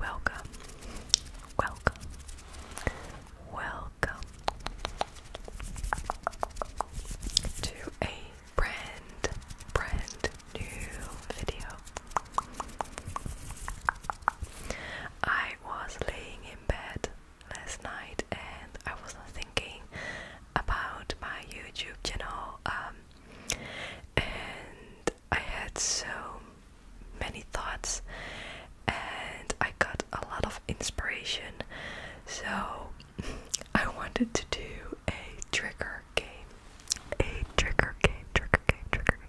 Welcome, welcome, welcome to a brand, brand new video. I was laying in bed last night and I was not thinking about my YouTube channel, um, and I had so many thoughts, and I got a lot of inspiration. So I wanted to do a trigger game, a trigger game, trigger game, trigger game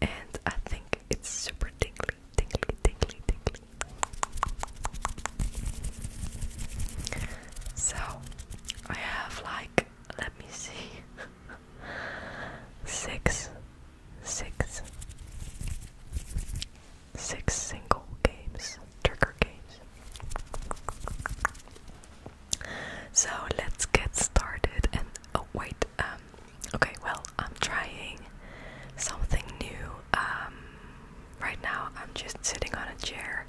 and I think it's super tingly, tingly, tingly, tingly. So I have like, let me see, six, six, six single games, trigger games. So let's get started and oh wait, uh, um, okay, well, I'm trying something new. Um, right now, I'm just sitting on a chair,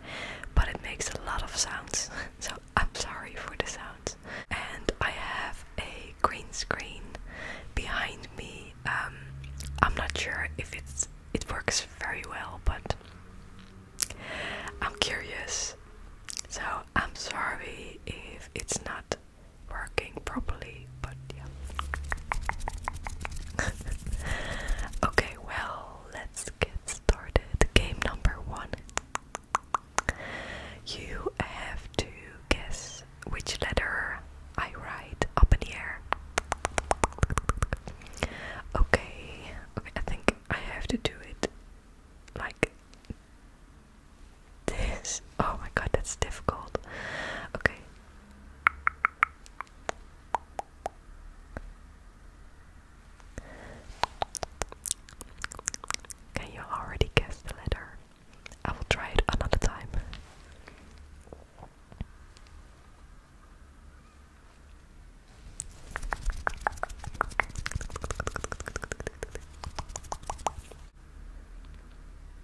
but it makes a lot of sounds, so I'm sorry for the sounds. And I have a green screen behind me. Um, I'm not sure if it's it works very well, but I'm curious. So I'm sorry if it's not working properly, but yeah. okay, well, let's get started. Game number one. You have to guess which letter I write up in the air. Okay, okay, I think I have to do it like this. Oh my god, that's difficult. Okay. Can you already guess the letter? I will try it another time.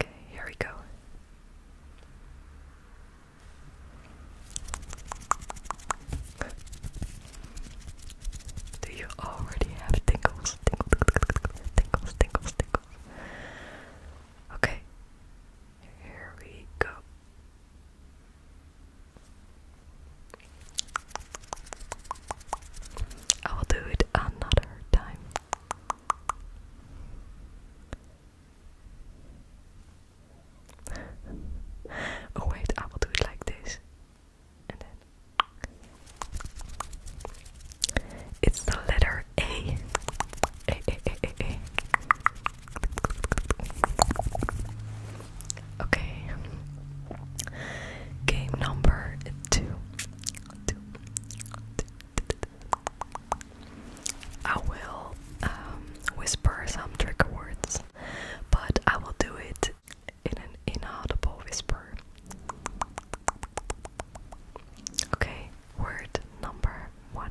Okay, here we go. Do you already have tingles? Tingles, tingles, tingles, tingles. Okay, here we go. I will do it another time oh wait, I will like this. it's the letter A. A. Okay. Game number two. I will um, whisper some trick words, but I will do it in an inaudible whisper. Okay, word number one.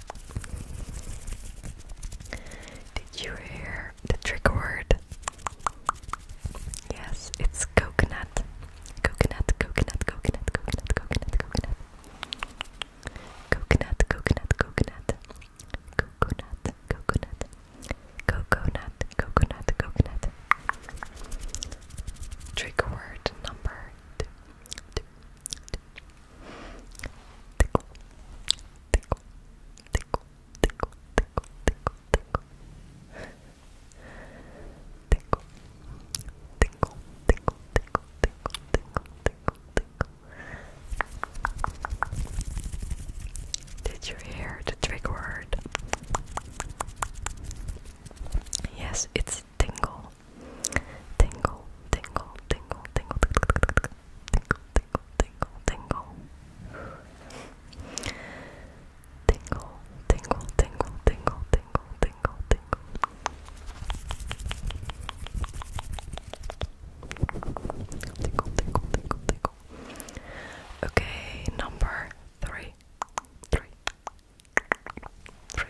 Did you hear the trigger word? Yes, it's coconut. Coconut, coconut, coconut, coconut, coconut, coconut. Coconut, coconut, coconut. Coconut, coconut. Coconut, coconut, coconut. Trigger word number two, tickle, tickle, tickle, tickle, tickle, tickle, tickle. Tickle, tickle, tickle, tickle, tickle, tickle, tickle, tickle. Did you hear the trick word? Yes, it's tingle. Tingle, tingle, tingle, tingle, tingle, tingle, tingle, tingle, tingle, tingle, tingle, tingle, tingle, tingle, tingle, tingle, tingle, tingle, tingle. Okay, number three, three, three.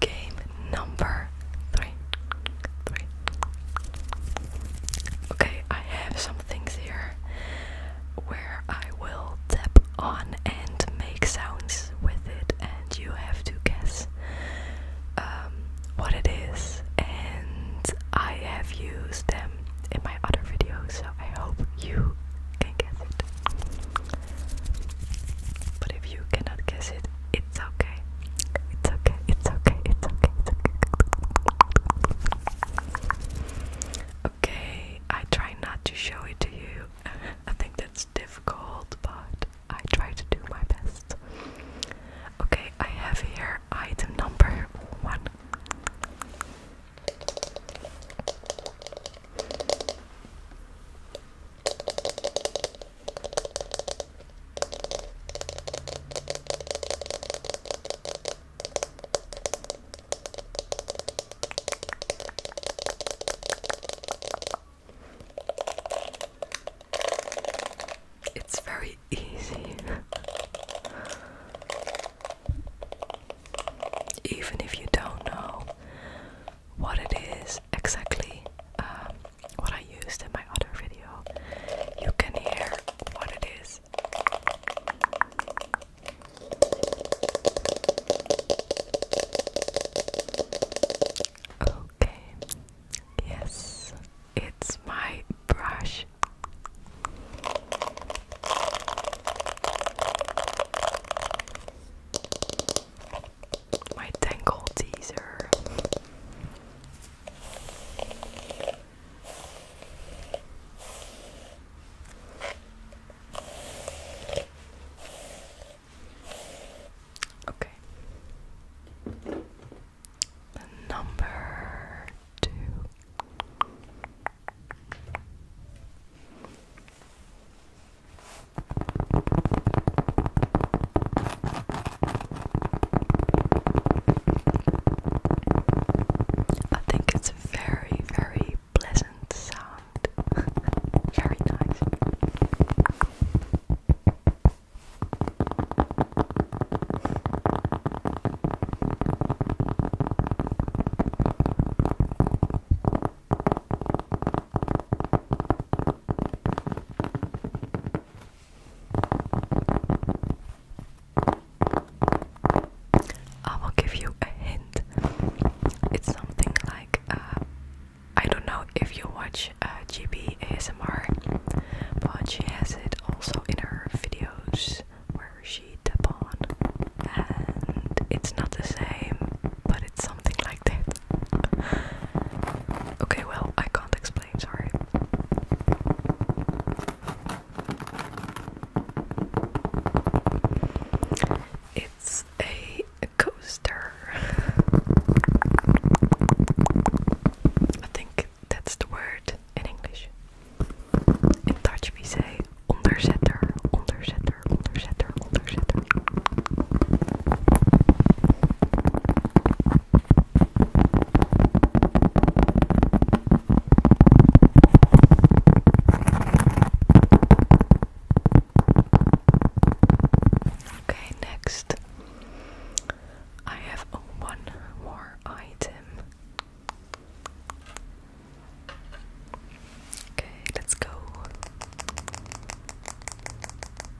Game number three. Okay, I have some things here where I will tap on and make sounds with it, and you have to guess um, what it is. And I have used them in my other videos, so I hope you can guess it. But if you cannot guess it, it's okay. It's okay. It's okay. It's okay. It's okay. Okay, I try not to show it to you. I think that's difficult, but I try to do my best. Okay, I have here item number one. It's very easy, even if you don't know what it is exactly. Um, what I used in my other video, you can hear what it is. Okay, yes, it's my brush. My tangle teaser. Okay. Number two. I think it's a very, very pleasant sound. very nice. I will give you a hint. It's something like uh, I don't know if you watch uh, GB ASMR, but she has it also in her videos where she tap on, and it's not the same, but it's something like that. okay, well I can't explain sorry. It's a, a coaster. I think that's the word in English. In Dutch we say onderzetter, onderzetter, onderzetter, onderzetter. Okay, next I have one more item. Okay, let's go.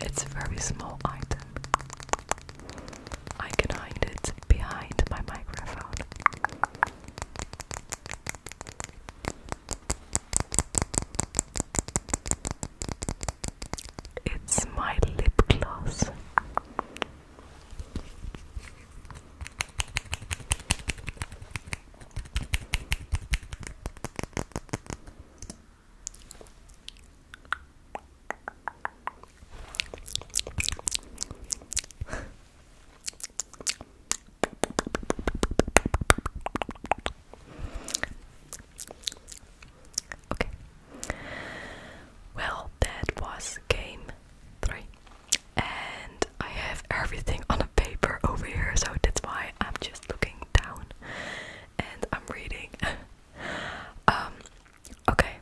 It's a very small item. I can hide it behind my microphone. It's my lip gloss okay. Well, that was game three, and I have everything on a paper over here, so that's why I'm just looking down and I'm reading. Um, okay.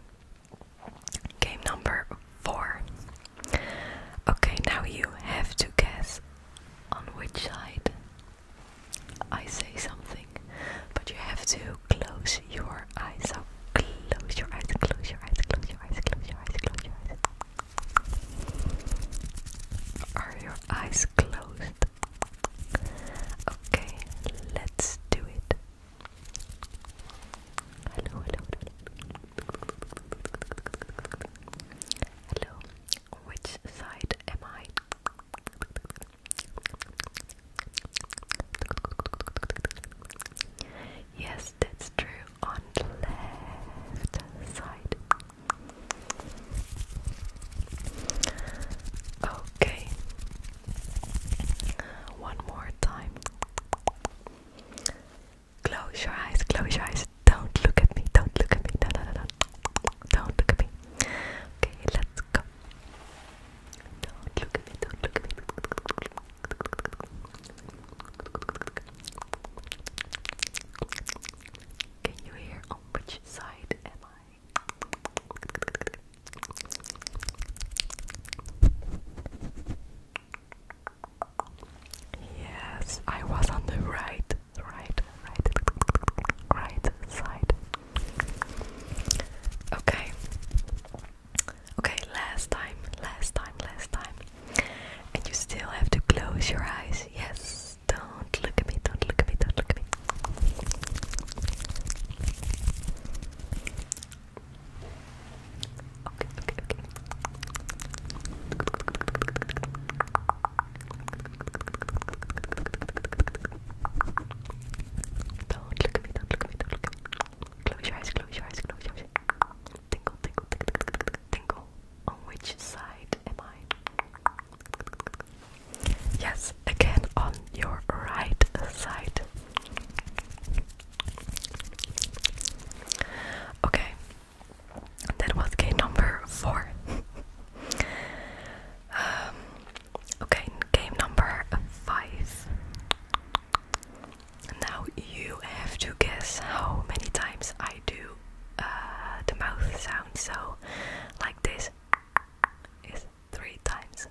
Game number four. Okay, now you have to guess on which side I say something, but you have to close your eyes. So close your eyes, close your eyes, close your eyes, close your eyes, close your eyes. Are your eyes closed? Okay, let's do it. Hello, hello, hello. Hello, which side am I? Yes, that's true. On the left side. Okay. One more time. Close your eyes, close your eyes. Don't look at me, don't look at me. No, no, no, no. Don't look at me. Okay, let's go. Don't look at me, don't look at me. Can you hear on which side am I? Yes, I was on the right, right, right, right side. Okay. Okay, last time, last time, last time. And you still have to close your eyes. Yes. Please don't look at me, don't look at me, don't look at me. Okay, okay, okay. Don't look at me, don't look at me, don't look at me. Close your eyes, close your eyes, close your eyes. Tingle, tingle, tingle, tingle, tingle. On which side am I? Yes, again on your right side. Okay, that was game number four. um, okay, game number five. Now you have to guess how many times I do uh, the mouth sound. So, like this is three times.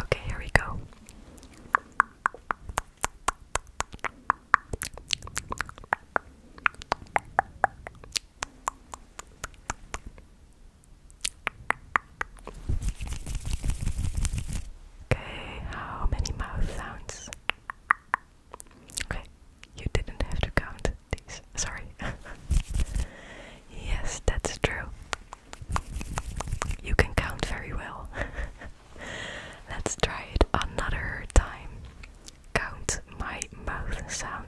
Okay, here we go. Okay, how many mouth sounds Okay, you didn't have to count these. Sorry. yes, that's true. You can count very well. Let's try it another time. Count my mouth sounds.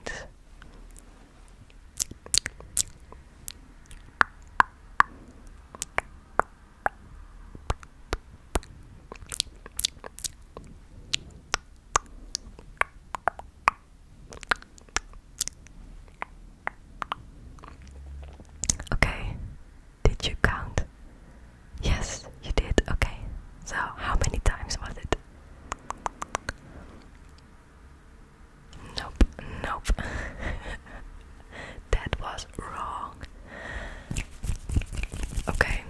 Okay, did you count? Yes, you did. Okay, so how many times was it? Nope, nope. that was wrong. Okay,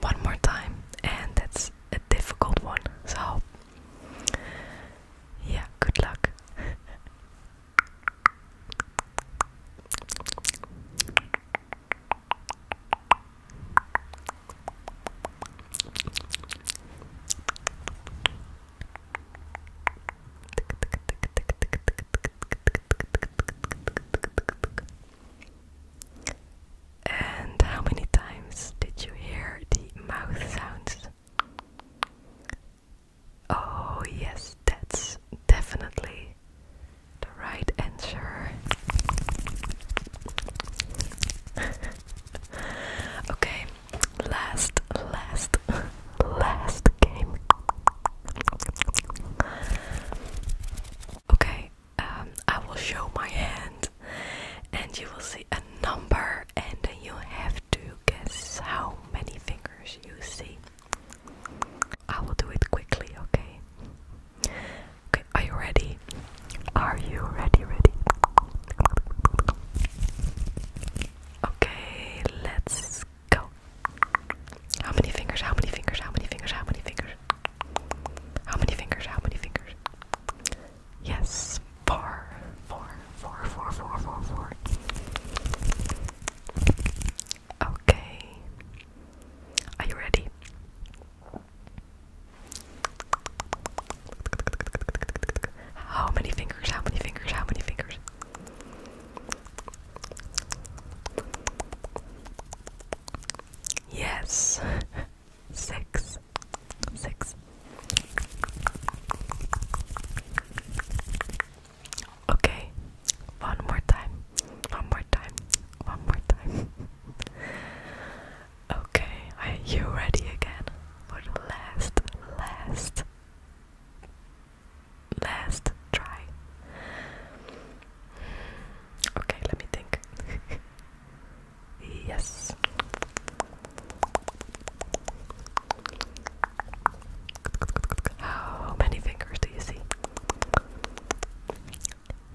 one more time, and that's a difficult one. So, yeah, good luck. And how many times did you hear the mouth sounds? Oh, yes, that's definitely the right answer. okay, last, last, last game. Okay, um, I will show my hand and you will see a number and then you have to guess how many fingers you see. I will do it quickly, okay? Okay, are you ready? Are you ready, ready? Okay, let's go. How many fingers, how many fingers, how many fingers, how many fingers? How many fingers? How many fingers? Yes, four, four, four, four, four, four, four. Okay. Are you ready? How many fingers? How many fingers? How many fingers? Yes. Six. Six. Okay. One more time. One more time. One more time. okay. Are you ready again? For the last, last, last try. Okay, let me think. yes. How many fingers do you see?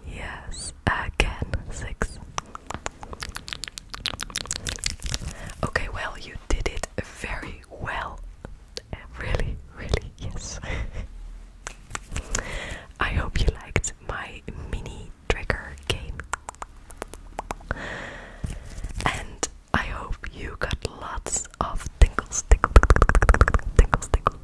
Yes, again, six. Okay, well, you did it very well. Really, really, yes. I hope you liked my mini trigger game. And I hope you got lots of tingles, tickle, tingles, tickle,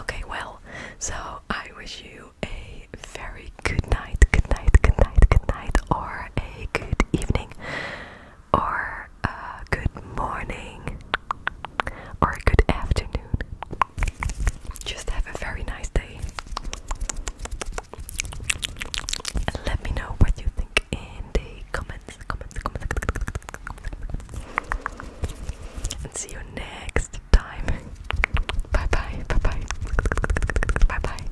Okay, well, so I wish you a very good night, good night, good night, good night, or a good evening or a good morning or a good afternoon. Just have a very nice day. And let me know what you think in the comments. And see you next time. Bye bye, bye bye, bye bye.